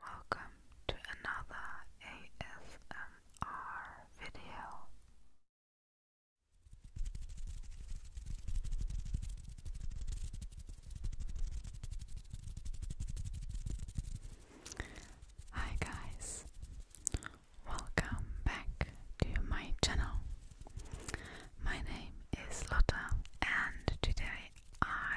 Welcome to another ASMR video. Hi guys, welcome back to my channel. My name is Lotta and today i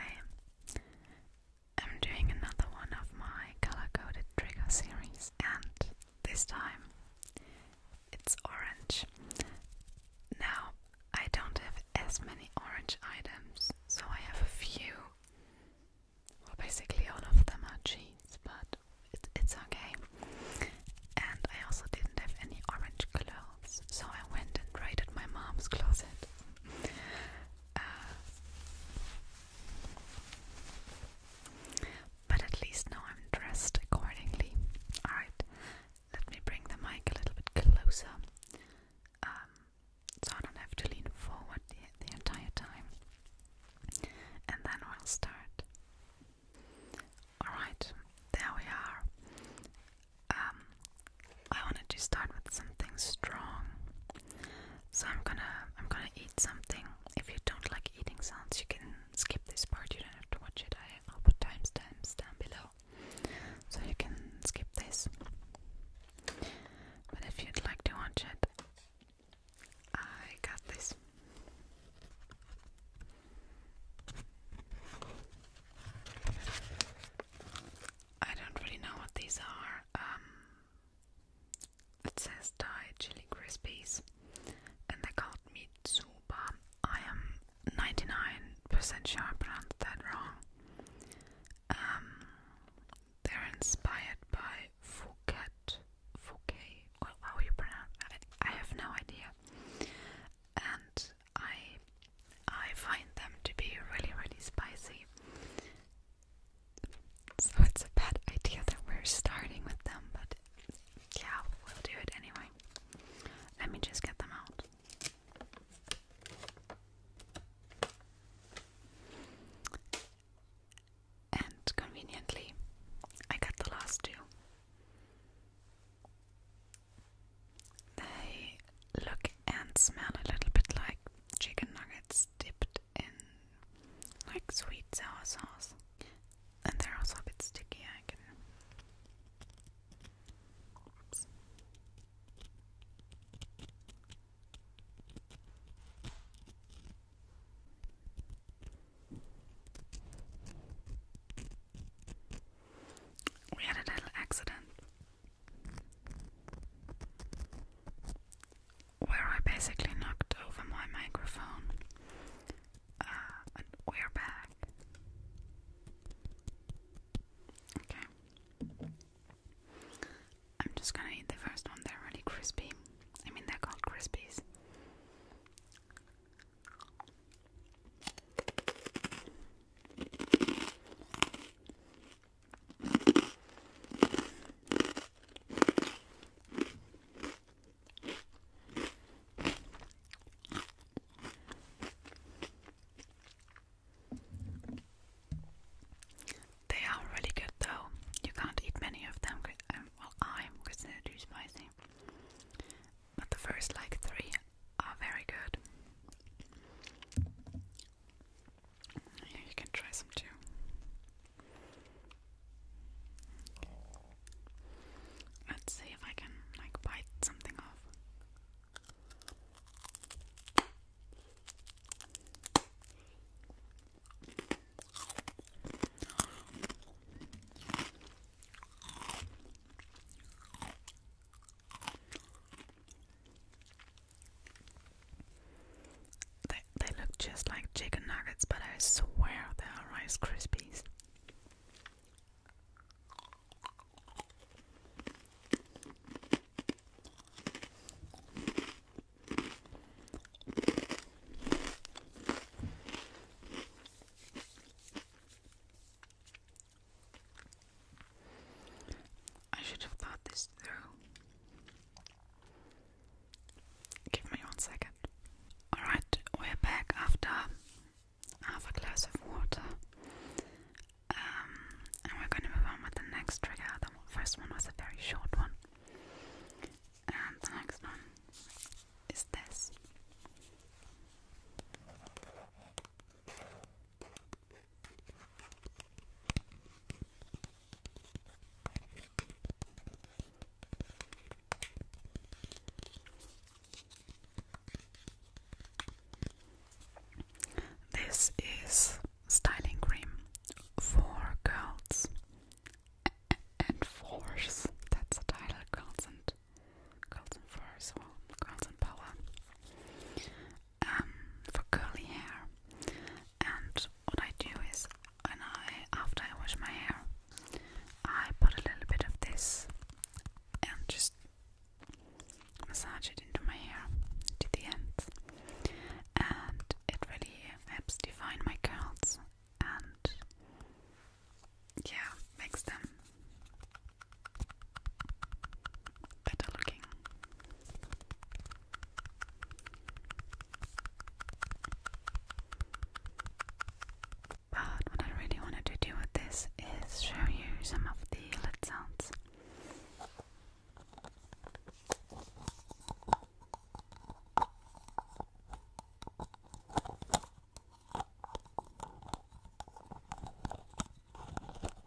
I'm doing another one of my color coded trigger series, and this time it's orange. Now, I don't have as many orange items, so I have a few. Well, basically, all of them are jeans, but it, it's okay. And I also didn't have any orange clothes, so I went and raided my mom's closet. Uh, but at least now I'm dressed accordingly. Alright, let me bring the mic a little bit closer um, so I don't have to lean forward the entire time. And then we'll start. Alright, there we are um, I wanted to start with something strong. So I'm gonna I'm gonna eat something. If you don't like eating sounds, you can skip this part. You don't have to watch it. I, will put timestamps down below, so you can skip this. But if you'd like to watch it, I got this. I don't really know what these are. Um, it says Thai chili crispies, and they called me Tsuba. I am 99% sure I pronounced that wrong. Um, they're inspired by Phuket, Phuket, or how you pronounce it. I have no idea. And I I find them to be really, really spicy. So it's a bad idea that we're starting with them, but yeah, we'll do it anyway. Let me just get them out. And conveniently, I got the last two. They look and smell a little bit like chicken nuggets dipped in like sweet sour sauce. And they're also a bit sticky, I can. We had a little accident where I basically knocked over my microphone. Uh, we're back. Okay. I'm just gonna eat the first one, they're really crispy. I mean, they're called crispies. They are really good though. You can't eat many of them. Um, well, I'm considered too spicy. But the first like three are very good. Here, you can try some too. Let's see if I can like bite something off. They, they look just like chicken nuggets, but I swear they are Rice Krispies. I should have thought this through. Give me one second. Alright, we're back after half a glass of water. Um, and we're going to move on with the next trigger. The first one was a very short one. And the next one is this. This is styling cream for girls and force. That's the title, girls and girls and force or girls and power. Um, for curly hair. And what I do is, when I after I wash my hair, I put a little bit of this and just massage it into my hair to the end, and it really helps define my curls and yeah, makes them better looking. But what I really wanted to do with this is show you some of the lid sounds.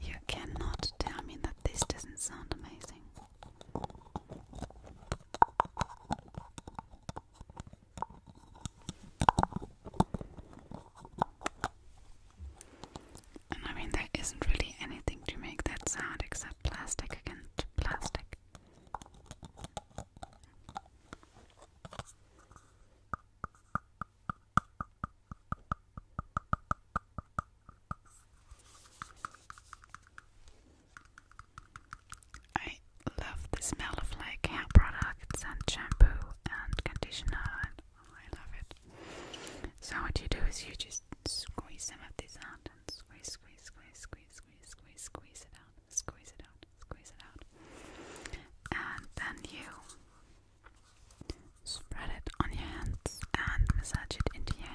You cannot tell me that this doesn't sound amazing. And I mean, there isn't really anything to make that sound except plastic against plastic. I love the smell of like hair products and shampoo and conditioner I love it. So what you do is you just squeeze some of this out and squeeze squeeze squeeze squeeze squeeze squeeze squeeze it out squeeze it out squeeze it out and then you Spread it on your hands and massage it into your hair.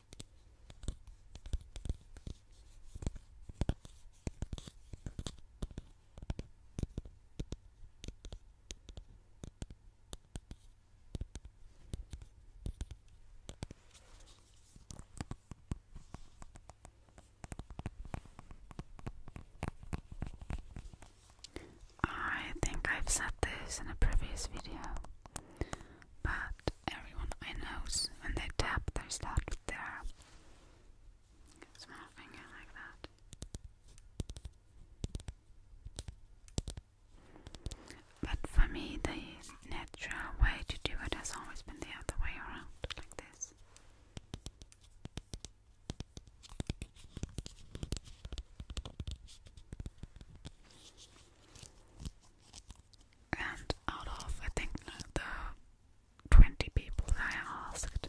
I think I've said this in a previous video, but everyone I knows when they tap, they start with their small finger like that. But for me, the natural way to do it has always been the other way around, like this. And out of, I think, the 20 people that I asked,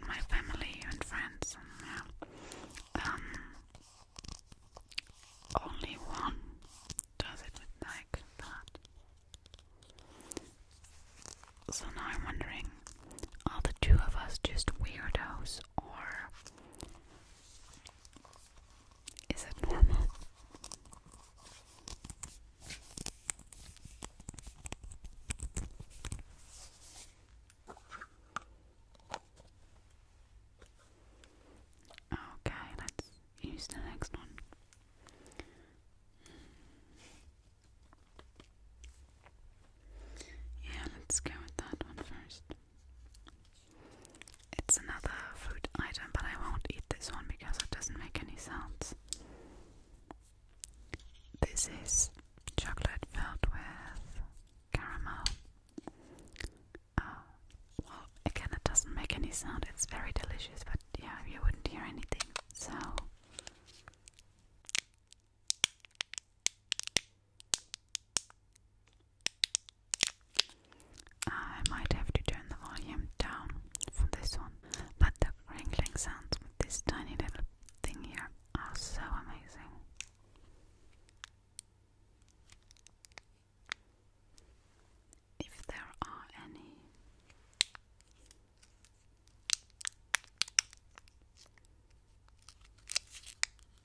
in my family and friends, um, only one does it like that. So now I'm wondering, are the two of us just weirdos, or is it normal? Okay, let's use the next one. Yeah, let's go with that one first. It's another food item, but I won't eat this one because it doesn't make any sounds. This is chocolate filled with caramel. Uh, well, again, it doesn't make any sound. It's very delicious, but yeah, you wouldn't hear anything. So. I might have to turn the volume down from this one, but the wrinkling sounds with this tiny little thing here are so amazing. If there are any.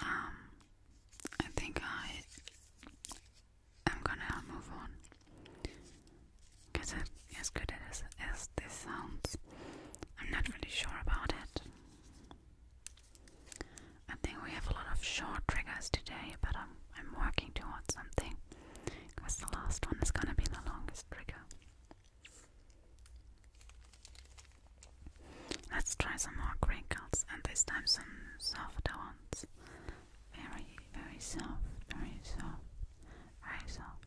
Um, I think I am gonna move on. Is it as good as, as this sounds? I'm not really sure about it. I think we have a lot of short triggers today, but I'm, I'm working towards something. Because the last one is gonna be the longest trigger. Let's try some more wrinkles, and this time some softer ones. Very, very soft, very soft very soft,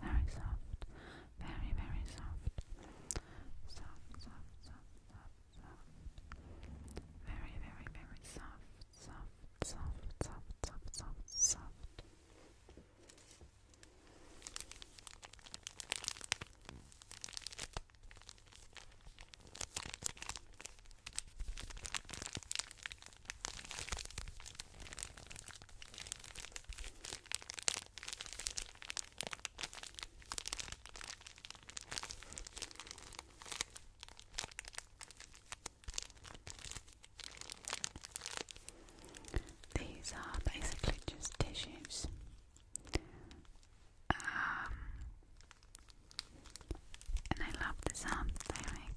very soft, very, very soft, soft, soft, soft, soft, soft, very, very, very soft, soft, soft, soft, soft, soft, soft. Very, these are basically just tissues. Um, and I love the sound they make.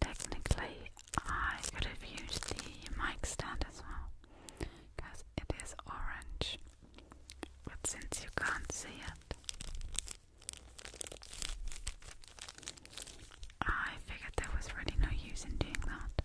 Technically, I could have used the mic stand as well because it is orange, but since you can't see it, I figured there was really no use in doing that.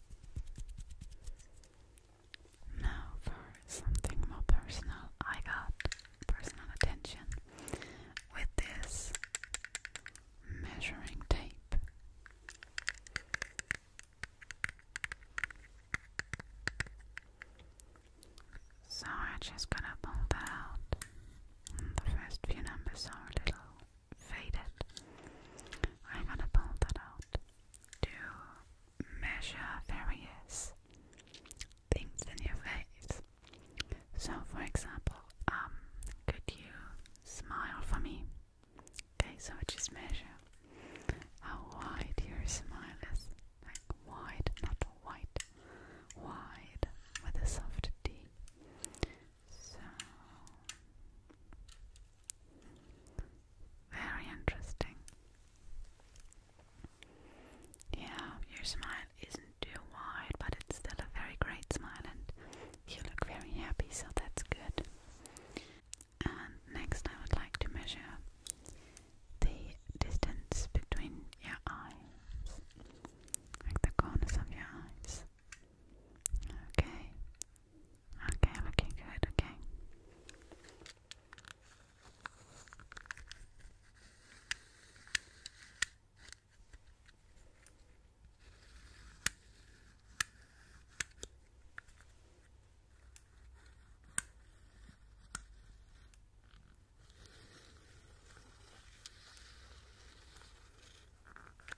Now for something more personal, I got personal attention with this measuring tape. So I'm just gonna pull that out. the first few numbers are a little faded. I'm gonna pull that out to measure various things in your face. So, for example, um, could you smile for me? Okay, so just measure how wide your smile is. Like wide, not wide, Wide with a soft D. So very interesting. Yeah, your smile isn't too wide, but it's still a very great smile, and you look very happy, so that's good. And next, I would like to measure the distance between your eyes, like the corners of your eyes. Okay. Okay, looking good, Okay,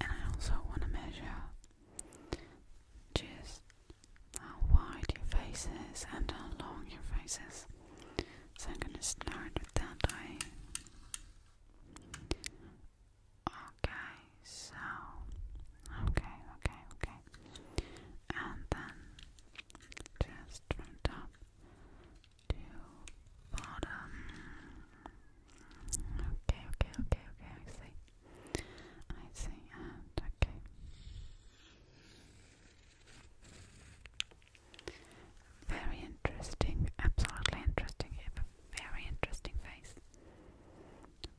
And I also want to measure just how wide your faces is and how long your faces. So I'm going to start with that eye. Okay, so okay, okay, okay. And then just from top to bottom. Okay, okay, okay, okay, I see. I see, and okay. Very interesting, absolutely interesting. very interesting face.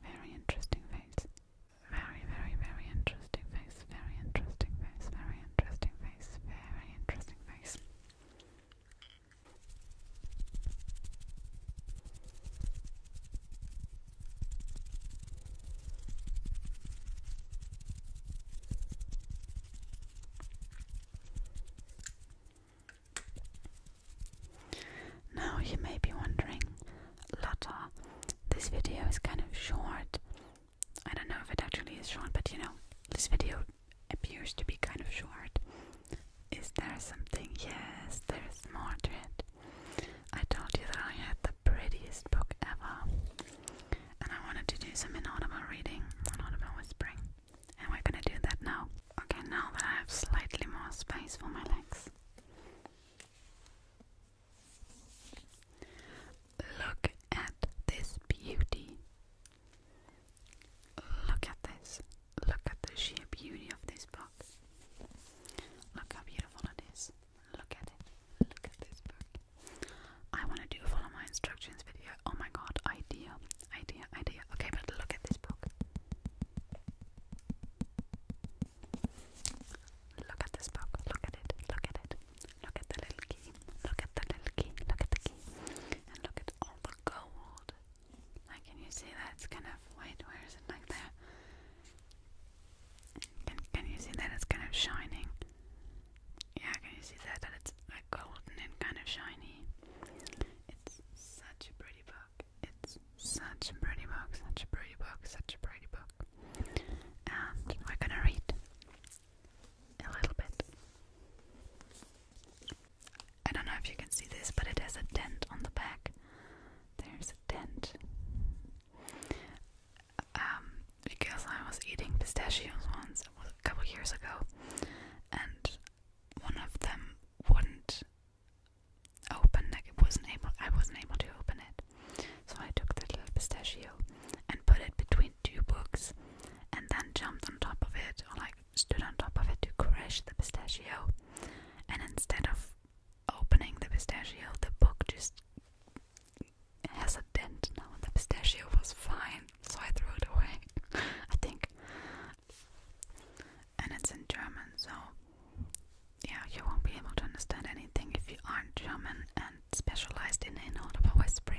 Very interesting face. Very, very, very interesting face. Very interesting face. Very interesting face. Very interesting face. Now you may be wondering, Lotta. This video is kind of short. I don't know if it actually is short, but you know, this video appears to be kind of short. Is there something? Yes, there's more to it. I told you that I had the prettiest book ever, and I wanted to do some inaudible reading, inaudible whispering, and we're gonna do that now. Okay, now that I have slightly more space for my legs. Look at this beauty. Look at this. Look at the sheer beauty of this book. Look how beautiful it is. Look at it. Look at this book. I want to do follow my instructions video. Oh my god, idea, idea, idea. Okay, but look at this book. Look at this book. Look at it. Look at it. Look at the little key. Look at the little key. Look at the key. And look at all the gold. can you see that? It's kind of white. Where is it? Like there. Can Can you see that? It's kind of shining. Yeah. Can you see that? That it's like golden and kind of shiny. It's such a pretty book. It's such a pretty book. Such a pretty book. Such a pretty book and we're gonna read a little bit. I don't know if you can see this, but it has a dent on the back. There's a dent. Um, because I was eating pistachios once a couple years ago, and one of them wouldn't open, like it wasn't able I wasn't able to open it. So I took the little pistachio and put it between two books and then jumped on top of it or like stood on top of it to crush the pistachio and instead of opening the pistachio the book just has a dent now the pistachio was fine so I threw it away I think and it's in German so yeah, you won't be able to understand anything if you aren't German and specialized in inaudible whispering.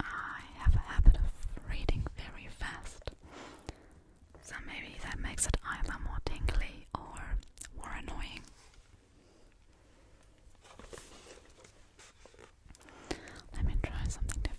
I have a habit of reading very fast. So maybe that makes it either more tingly or more annoying. Let me try something different.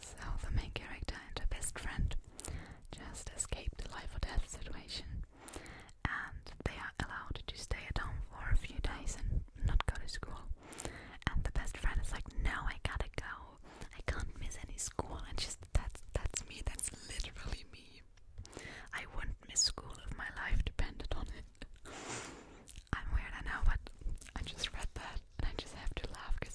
So the main character and her best friend just escaped a life or death situation, and they are allowed to stay at home for a few days and not go to school. And the best friend is like, "No, I gotta go. I can't miss any school." And she's that's that's me. That's literally me. I wouldn't miss school if my life depended on it. I'm weird, I know, but I just read that and I just have to laugh because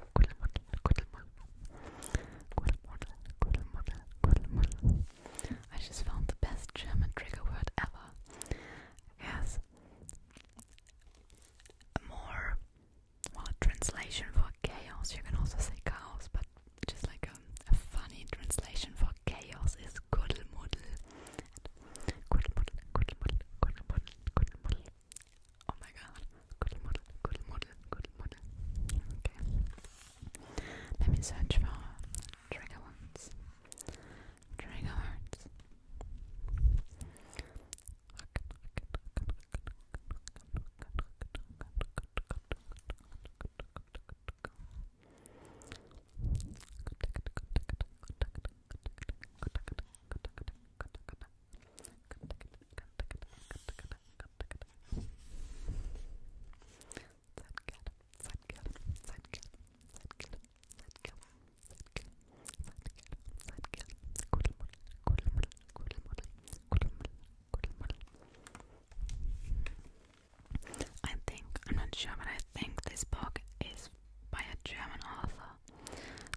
good model, good model, good model, good model, good model. I just found the best German trigger word ever. Yes, more well translation for chaos. You can also say chaos, but just like a, funny translation for chaos is Kuddelmuddel. Kuddelmuddel, Kuddelmuddel, Kuddelmuddel, Kuddelmuddel, Oh my god. Good model, good model, good model. Okay. Let me search for trigger words. Trigger words. I think I'm not sure, but I think this book is by a German author.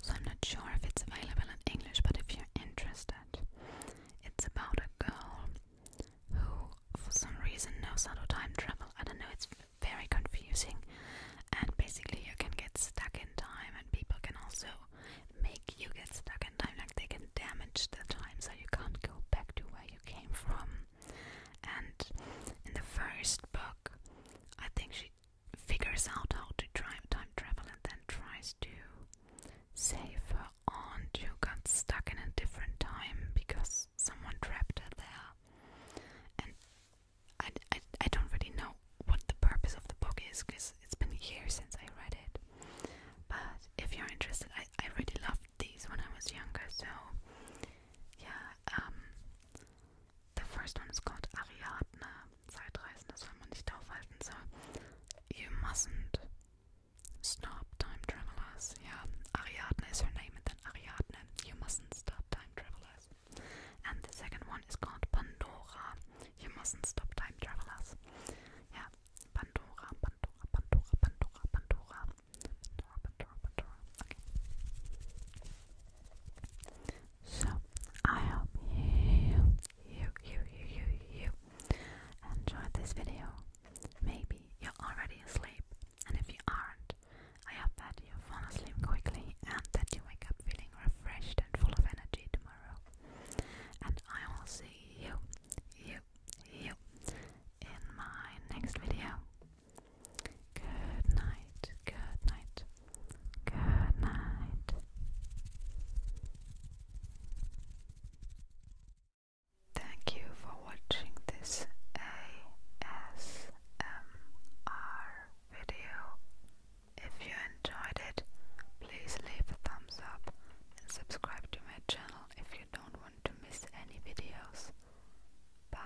So I'm not sure if it's available in English, but if you're interested, it's about a girl who, for some reason, knows how to time travel. I don't know, it's very confusing, and basically, you can get stuck in time, and people can also make you get stuck in time, like they can damage the time so you can't go back to where you came from. And in the first book, I think she figures out how to drive time travel and then tries to save her aunt who got stuck in a different time because someone trapped her there. And I, I, don't really know what the purpose of the book is because it's been years since I read it. But if you're interested, I, I really loved these when I was younger, so yeah, um, the first one is called Ariadne, Zeitreisen. Zeitreisendes, wenn man nicht aufhalten soll. You mustn't stop time travelers. Yeah, Ariadne is her name, and then Ariadne. You mustn't stop time travelers. And the second one is called Pandora. You mustn't stop time travelers. Yeah, Pandora, Pandora, Pandora, Pandora. Pandora, Pandora, Pandora. Okay. So I hope you, you, you, you, you, enjoyed this video. Maybe you're already asleep, and if you aren't, I hope that you fall asleep quickly and that you wake up feeling refreshed and full of energy tomorrow. And I will see you, you, you in my next video. Good night, good night, Good night. Thank you for watching this ASMR video. If you enjoyed it, please leave a thumbs up and subscribe to my channel if you don't want to miss any videos. Bye.